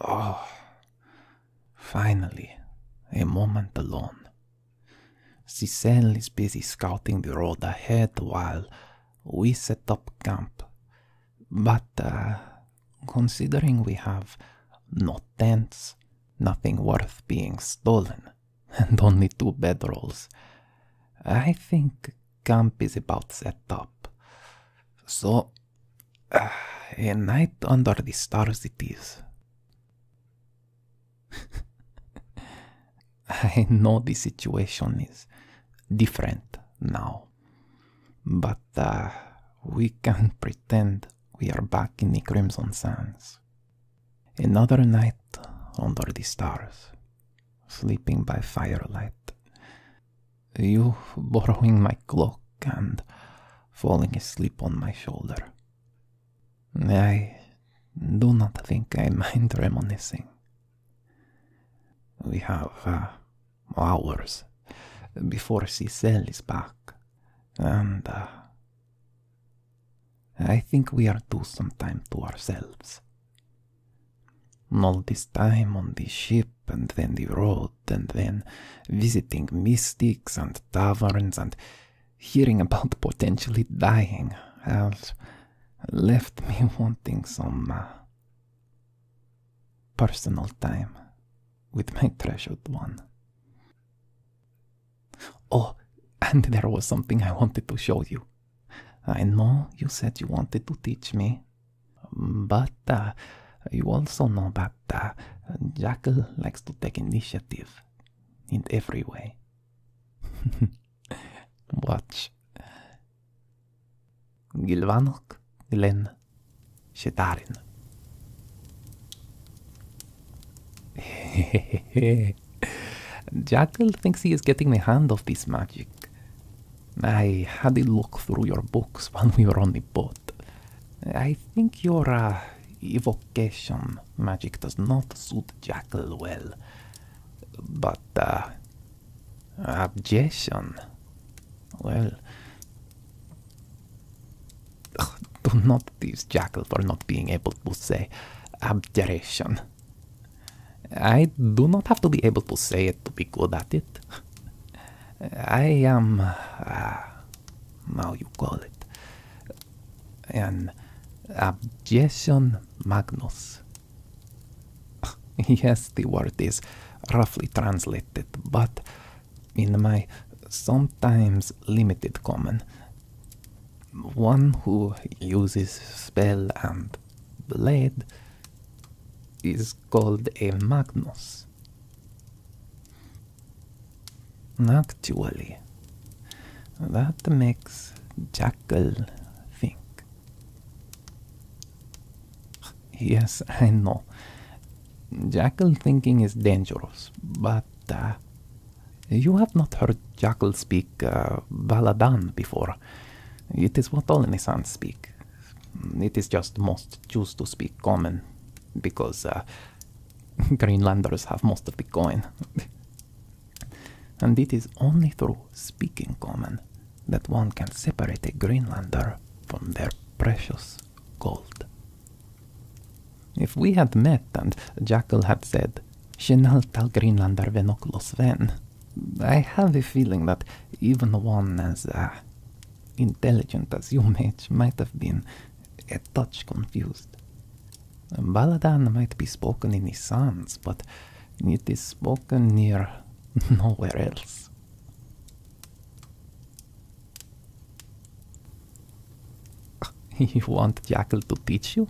Oh, finally, a moment alone. Cicel is busy scouting the road ahead while we set up camp. But uh, considering we have no tents, nothing worth being stolen, and only two bedrolls, I think camp is about set up. So a night under the stars it is. I know the situation is different now, but uh, we can pretend we are back in the Crimson Sands. Another night under the stars, sleeping by firelight, you borrowing my clock and falling asleep on my shoulder. I do not think I mind reminiscing. We have uh, hours before Cicel is back, and uh, I think we are due some time to ourselves all this time on the ship, and then the road, and then visiting mystics and taverns, and hearing about potentially dying, has left me wanting some uh, personal time with my treasured one. Oh, and there was something I wanted to show you. I know you said you wanted to teach me but uh, you also know that uh, Jackal likes to take initiative in every way. Watch. Gilvanok Glen Shetarin. Jackal thinks he is getting the hand of this magic. I had a look through your books when we were on the boat. I think your uh, evocation magic does not suit Jackal well. But, uh, abjuration, Well, do not tease Jackal for not being able to say abjuration. I do not have to be able to say it to be good at it. I am. Uh, how you call it? An abjection magnus. yes, the word is roughly translated, but in my sometimes limited common, one who uses spell and blade is called a Magnus. Actually, that makes Jackal think. Yes, I know. Jackal thinking is dangerous, but uh, you have not heard Jackal speak uh, Baladan before, it is what all Nissan speak. It is just most choose to speak common, because uh, Greenlanders have most of the coin. and it is only through speaking common that one can separate a Greenlander from their precious gold. If we had met and Jackal had said, Shenal tal Greenlander venoklos ven, I have a feeling that even one as uh, intelligent as you, mage, might have been a touch confused. Baladan might be spoken in the Sans, but it is spoken near nowhere else. you want Jackal to teach you?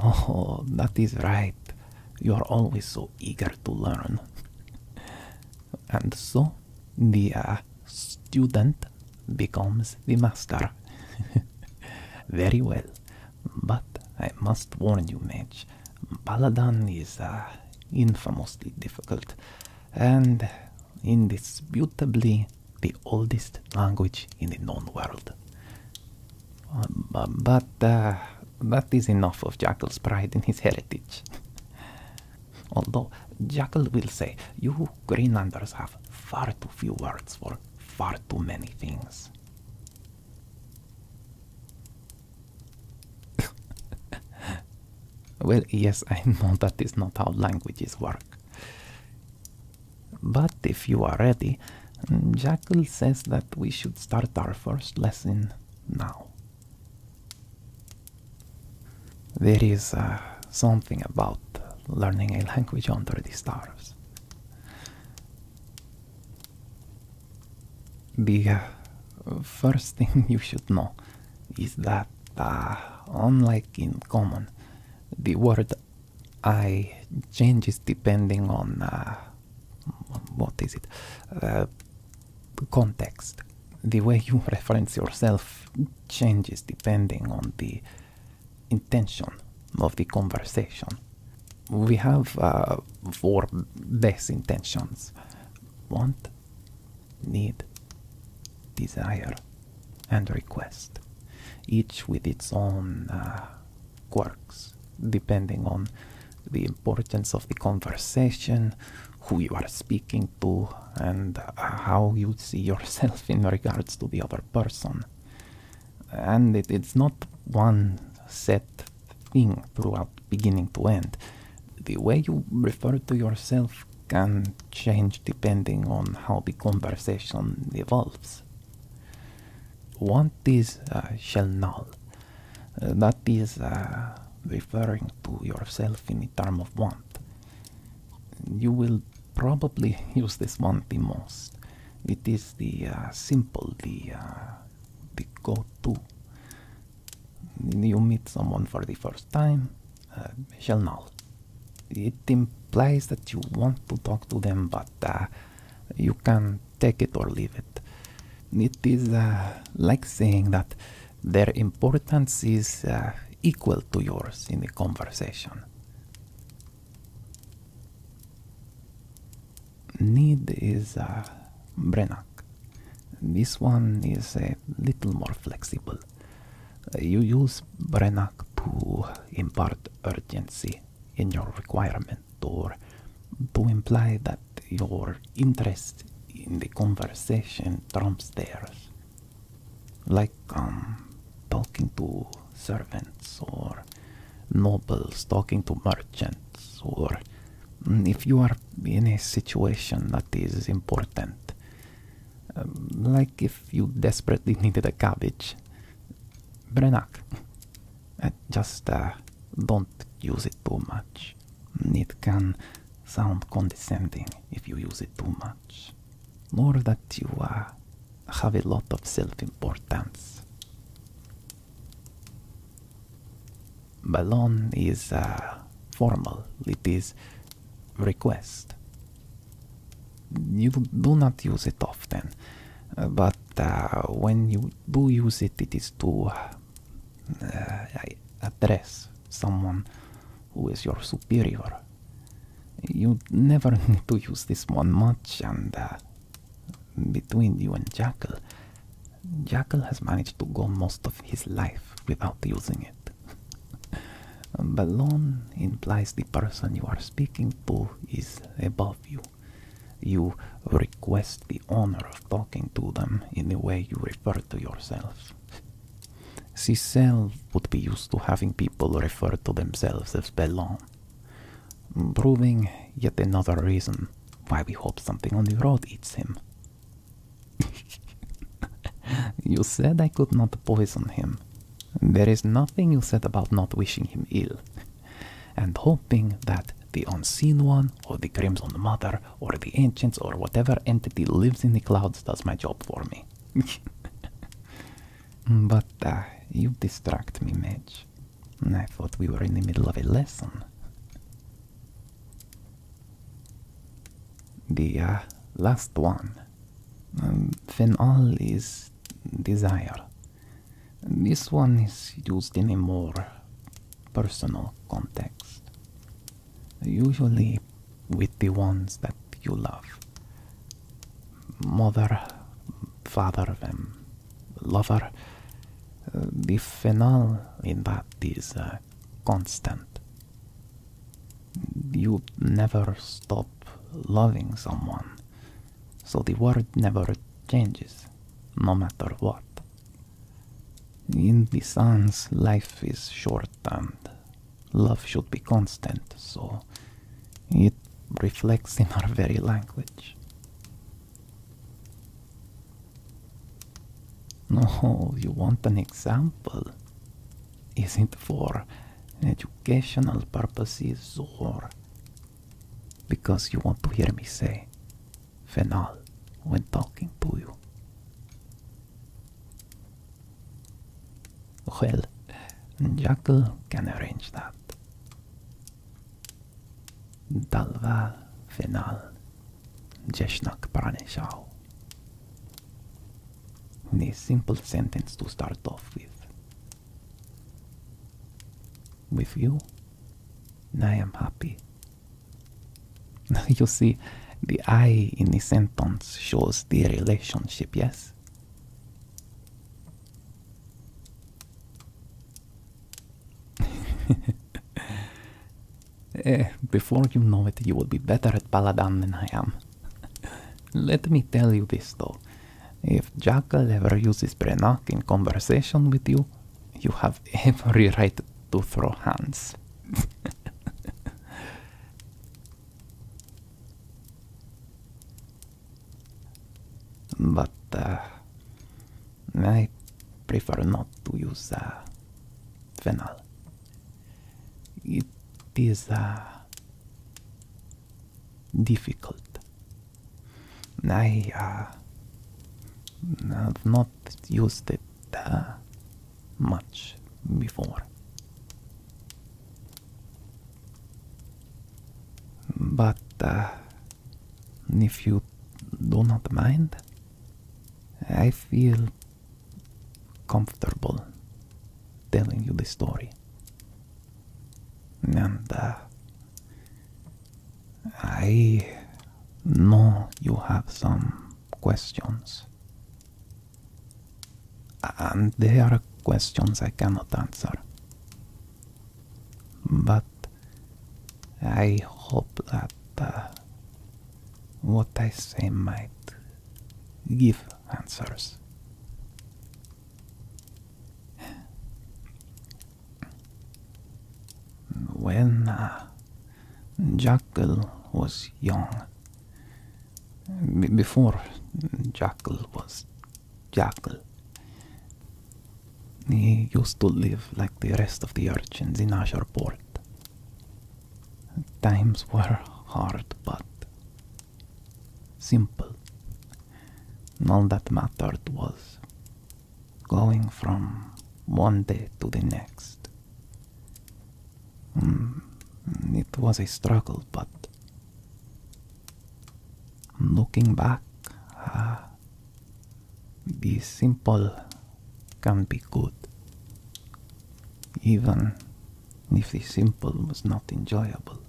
Oh, that is right. You are always so eager to learn. And so the student becomes the master. Very well. But I must warn you, Mage, Baladan is uh, infamously difficult and indisputably the oldest language in the known world. Um, but uh, that is enough of Jackal's pride in his heritage. Although Jackal will say, you Greenlanders have far too few words for far too many things. well, yes, I know that is not how languages work. But if you are ready, Jackal says that we should start our first lesson now. There is uh, something about learning a language under the stars. The uh, first thing you should know is that, uh, unlike in common, the word I changes depending on uh, what is it uh, context. The way you reference yourself changes depending on the intention of the conversation. We have uh, four best intentions: want, need, desire, and request, each with its own quarks, depending on the importance of the conversation, who you are speaking to, and uh, how you see yourself in regards to the other person. And it's not one set thing throughout beginning to end. The way you refer to yourself can change depending on how the conversation evolves want is uh, shall not. Uh, that is uh, referring to yourself in the term of want you will probably use this want the most it is the simple the uh, the go-to you meet someone for the first time shall not it implies that you want to talk to them, but uh, you can take it or leave it. It is uh, like saying that their importance is uh, equal to yours in the conversation. Need is Brenak. This one is a little more flexible. You use Brenak to impart urgency in your requirement or to imply that your interest in the conversation trumps theirs. Like um, talking to servants or nobles talking to merchants or mm, if you are in a situation that is important. Um, like if you desperately needed a cabbage, but I just uh, don't use it too much. It can sound condescending if you use it too much. Nor that you uh, have a lot of self-importance. Ballon is uh, formal. It is request. You do not use it often, but uh, when you do use it, it is to uh, address someone who is your superior. You never need to use this one much, and uh, between you and Jackal, Jackal has managed to go most of his life without using it. Um, Balon implies the person you are speaking to is above you. You request the honor of talking to them in the way you refer to yourself. Cecil would be used to having people refer to themselves as Bellon, proving yet another reason why we hope something on the road eats him. you said I could not poison him. There is nothing you said about not wishing him ill, and hoping that the Unseen One, or the Crimson Mother, or the Ancients, or whatever entity lives in the clouds does my job for me. but uh, you distract me, Madge. I thought we were in the middle of a lesson. The uh, last one um, is desire. This one is used in a more personal context, usually with the ones that you love mother, father, and lover. Uh, the phenol in that is uh, constant you never stop loving someone. So the word never changes, no matter what. In the sun's life is short and love should be constant, so it reflects in our very language. No, you want an example? Is not for educational purposes or because you want to hear me say phenol when talking to you. Well, Jackal can arrange that. Dalval phenol, Jeshnak Pranishao. A simple sentence to start off with. With you, I am happy. you see, the I in the sentence shows the relationship, yes? Eh, before you know it, you will be better at Paladin than I am. Let me tell you this though. If Jackal ever uses Brenak in conversation with you, you have every right to throw hands. but uh, I prefer not to use the uh, phenol. It is difficult. I uh, have not used it uh, much before. But uh, if you do not mind, I feel comfortable telling you the story. And uh, I know you have some questions. And there are questions I cannot answer. But I hope that uh, what I say might give answers. When uh, Jackal was young, before Jackal was Jackal, he used to live like the rest of the urchins in Asharpore. Times were hard, but simple. And all that mattered was going from one day to the next. Mm, it was a struggle, but looking back, ah, this simple can be good, even if this simple was not enjoyable.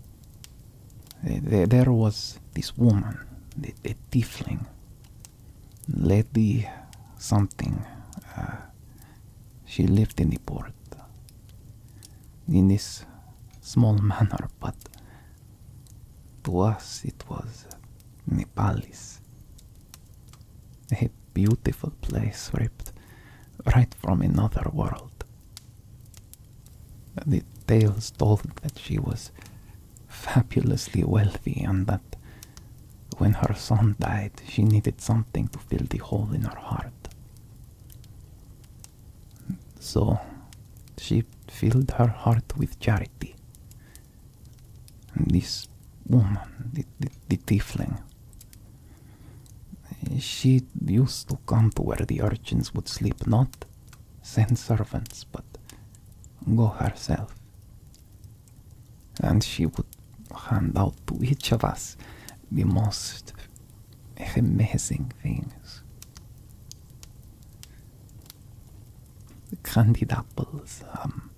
there was this woman, a tifling lady something. Uh, she lived in the port, in this small manner, but to us it was Nepalis. A beautiful place ripped right from another world. The tales told that she was fabulously wealthy and that when her son died, she needed something to fill the hole in her heart. So she filled her heart with charity, this woman, the, the, the tiefling, she used to come to where the urchins would sleep, not send servants, but go herself. And she would hand out to each of us the most amazing things candied apples, um,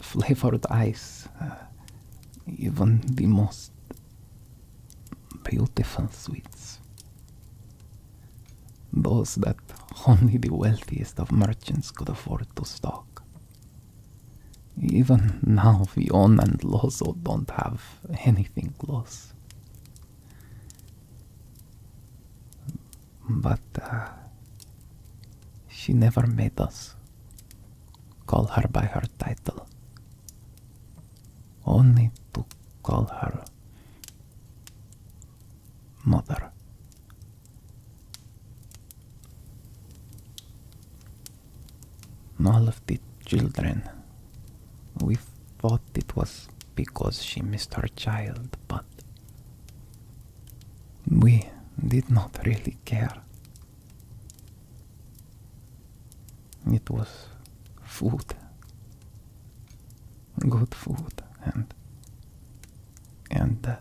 flavored ice, uh, even the most beautiful sweets. Those that only the wealthiest of merchants could afford to stock. Even now, we own and Lozo don't have anything close. But uh, she never made us call her by her title, only to call her mother. All of the children, we thought it was because she missed her child, but we did not really care. It was food. Good food and and uh,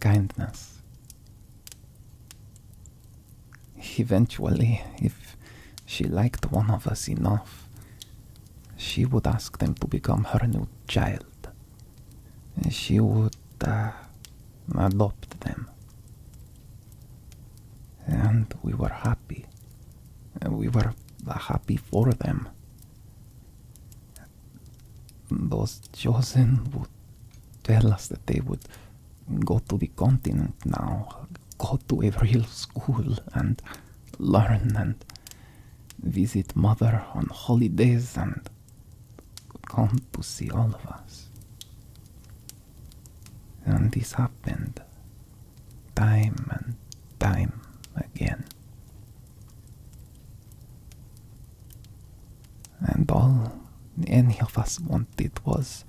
kindness. Eventually, if she liked one of us enough, she would ask them to become her new child. She would uh, adopt them. And we were happy. We were uh, happy for them. Those chosen would tell us that they would go to the continent now, go to a real school and learn and visit mother on holidays and come to see all of us. And this happened time and time again. And all any of us wanted was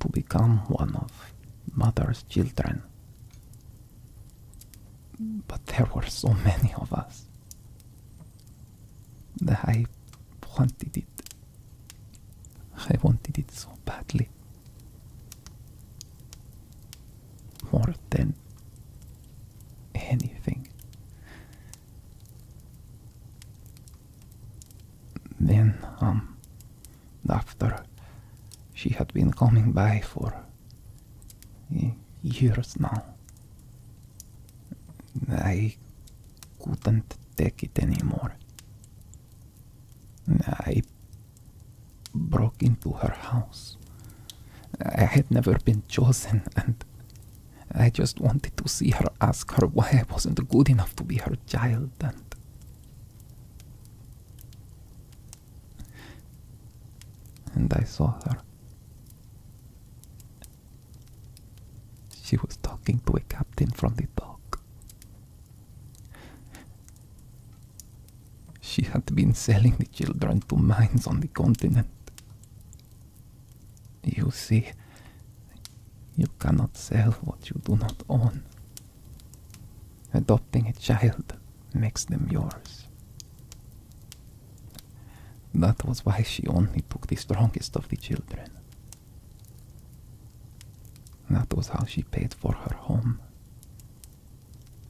to become one of mother's children. But there were so many of us that I wanted it. I wanted it so badly. More than anything. Then, um, after she had been coming by for years now. I couldn't take it anymore. I broke into her house. I had never been chosen, and I just wanted to see her, ask her why I wasn't good enough to be her child, and and I saw her. She was talking to a captain from the dock. She had been selling the children to mines on the continent. You see, you cannot sell what you do not own. Adopting a child makes them yours. That was why she only took the strongest of the children. That was how she paid for her home.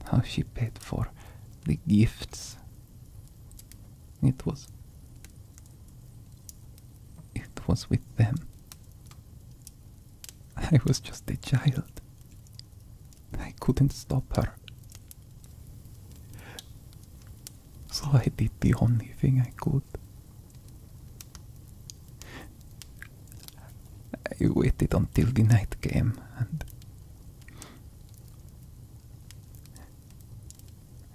How she paid for the gifts. It was. It was with them I was just a child. I couldn't stop her. So I did the only thing I could. I waited until the night came and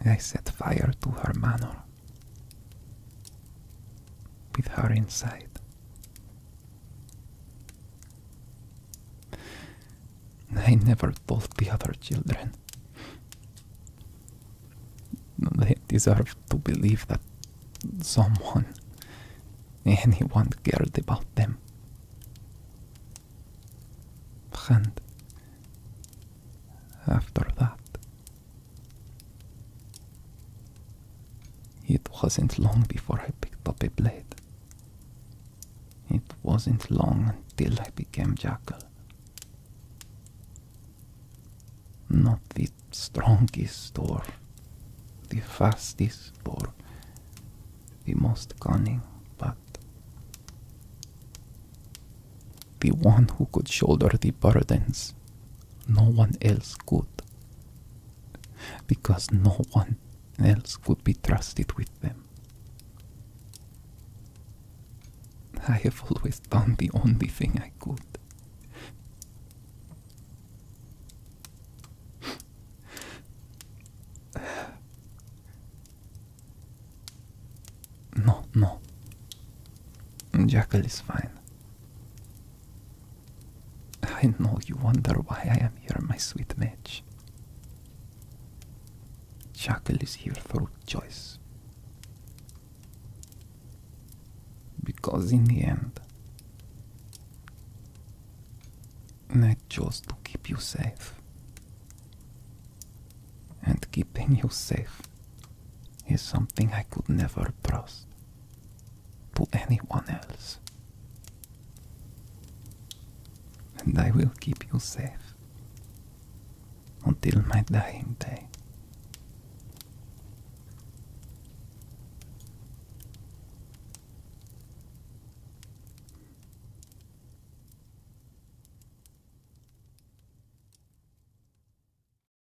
I set fire to her manor with her inside. I never told the other children. They deserve to believe that someone, anyone cared about them. And after that, it wasn't long before I picked up a blade. It wasn't long until I became Jackal. Not the strongest or the fastest or the most cunning, but the one who could shoulder the burdens no one else could. Because no one else could be trusted with them. I have always done the only thing I could. No, no. Jackal is fine. I know you wonder why I am here, my sweet Midge. Shackle is here through choice. Because in the end, I chose to keep you safe. And keeping you safe is something I could never trust to anyone else. And I will keep you safe until my dying day.